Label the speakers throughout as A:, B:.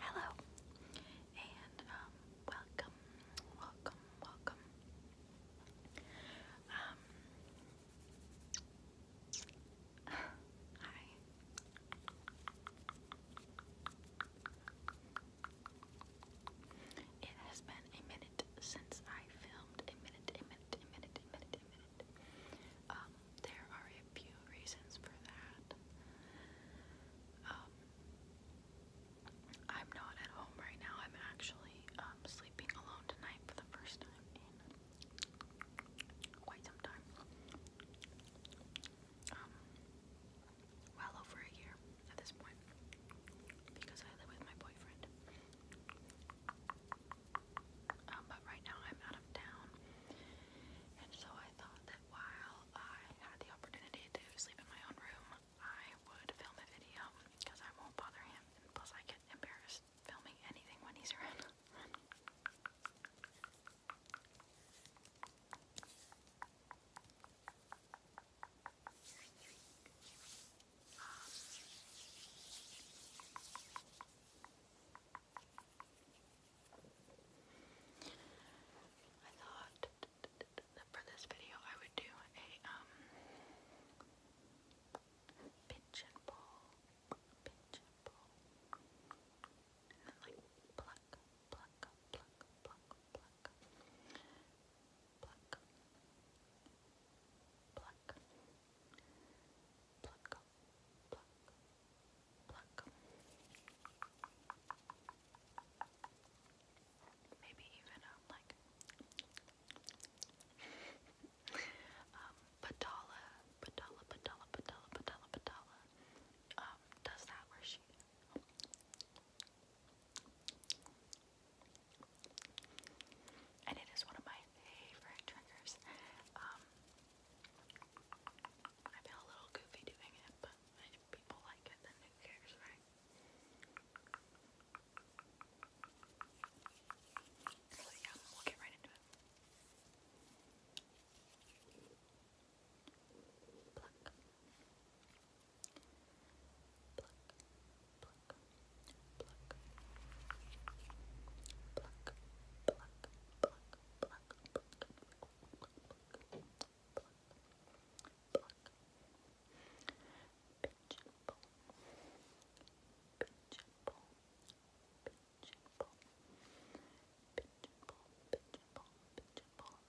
A: Hello, and um, welcome, welcome, welcome. Um, hi. It has been a minute since I filmed, a minute, a minute, a minute, a minute. Um, there are a few reasons for that. Um, I'm not at home right now. I'm actually um, sleeping alone tonight for the first time in quite some time. well over a year at this point because I live with my boyfriend. Um, but right now I'm out of town, and so I thought that while I had the opportunity to sleep in my own room, I would film a video because I won't bother him, and plus I get embarrassed filming anything when he's around. Um, I thought that for this video I would do a um pinch and pull, pinch and pull, and then like pluck, pluck, pluck, pluck, pluck, pluck, pluck, pluck, pluck, pluck. Maybe even um, like um, Patala, Patala, Patala, Patala, Patala, um, does that where she and it is one of my favorite triggers. Um, I feel a little goofy doing it, but if people like it, then who cares, right? So yeah, we'll get right into it. Pinch and pull, pinch and pull, pinch and pull, pinch and pull, pinch and pull, pinch and pull,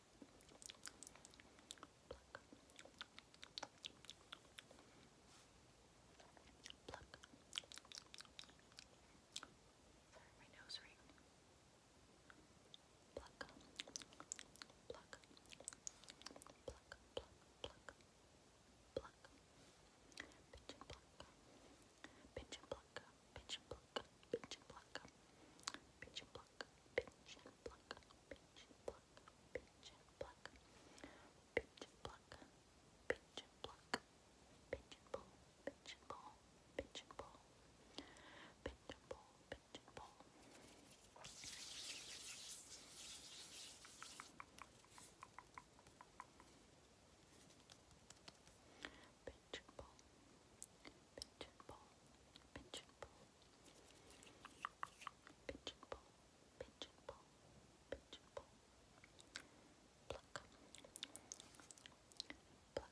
A: Sorry, my nose ring. Pluck, pluck, pluck, pluck, pluck, pluck, pluck. Pinch pluck, pluck, pluck, pluck, pinch and pluck, pinch and pluck, pinch and pluck, pinch and pluck, pinch and pluck, pinch and pluck, pinch and pluck, pinch and pinch and pull, pinch and pull, pinch and pull, pinch and pull, pinch and pull, pinch and pull, pluck, pluck, pluck, pluck. Pluck, pull,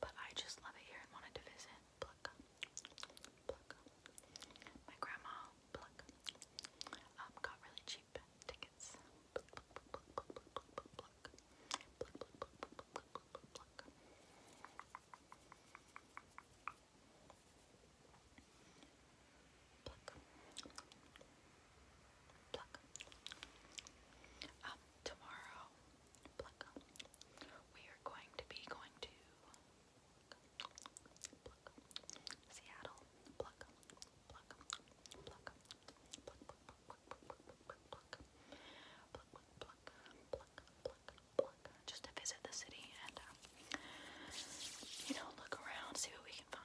A: But I just love it here and wanted to visit. My grandma, got really cheap tickets. Um, tomorrow we are going to be going to Seattle, just to visit the city and um, you know look around, see what we can find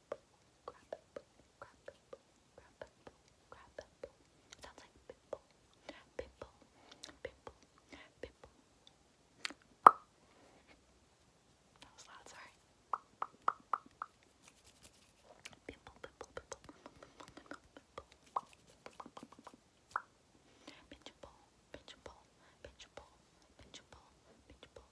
A: apple, crab Sounds like pimple, pimple, pimple, pimple. That was loud, sorry. Pimple, pimple, pimple, pimple, pimple, pimple. Pinch and pull, pinch and pull,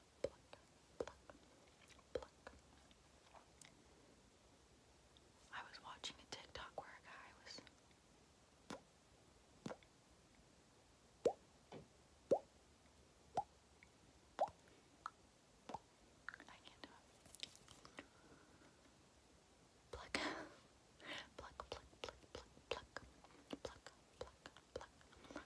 A: I was watching a TikTok where a guy was pluck, pluck, pluck, pluck, pluck, pluck, pluck, pluck, pluck,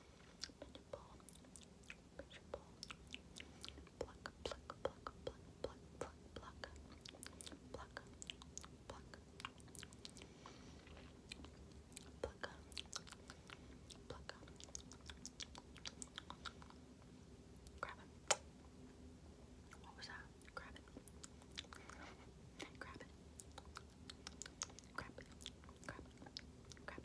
A: pinch pull, pinch pull, pluck, pluck, pluck, pluck, pluck, pluck, pluck, pluck, pluck, grab it. What was that? Grab it. Grab it. Grab it. Grab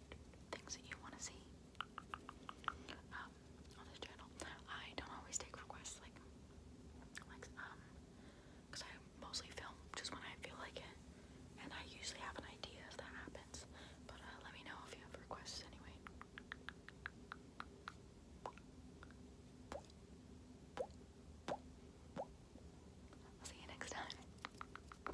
A: things that you want to see um, on this channel. I don't always take requests like, like um, because I mostly film just when I feel like it, and I usually have an idea if that happens. But uh, let me know if you have requests anyway. I'll see you next time.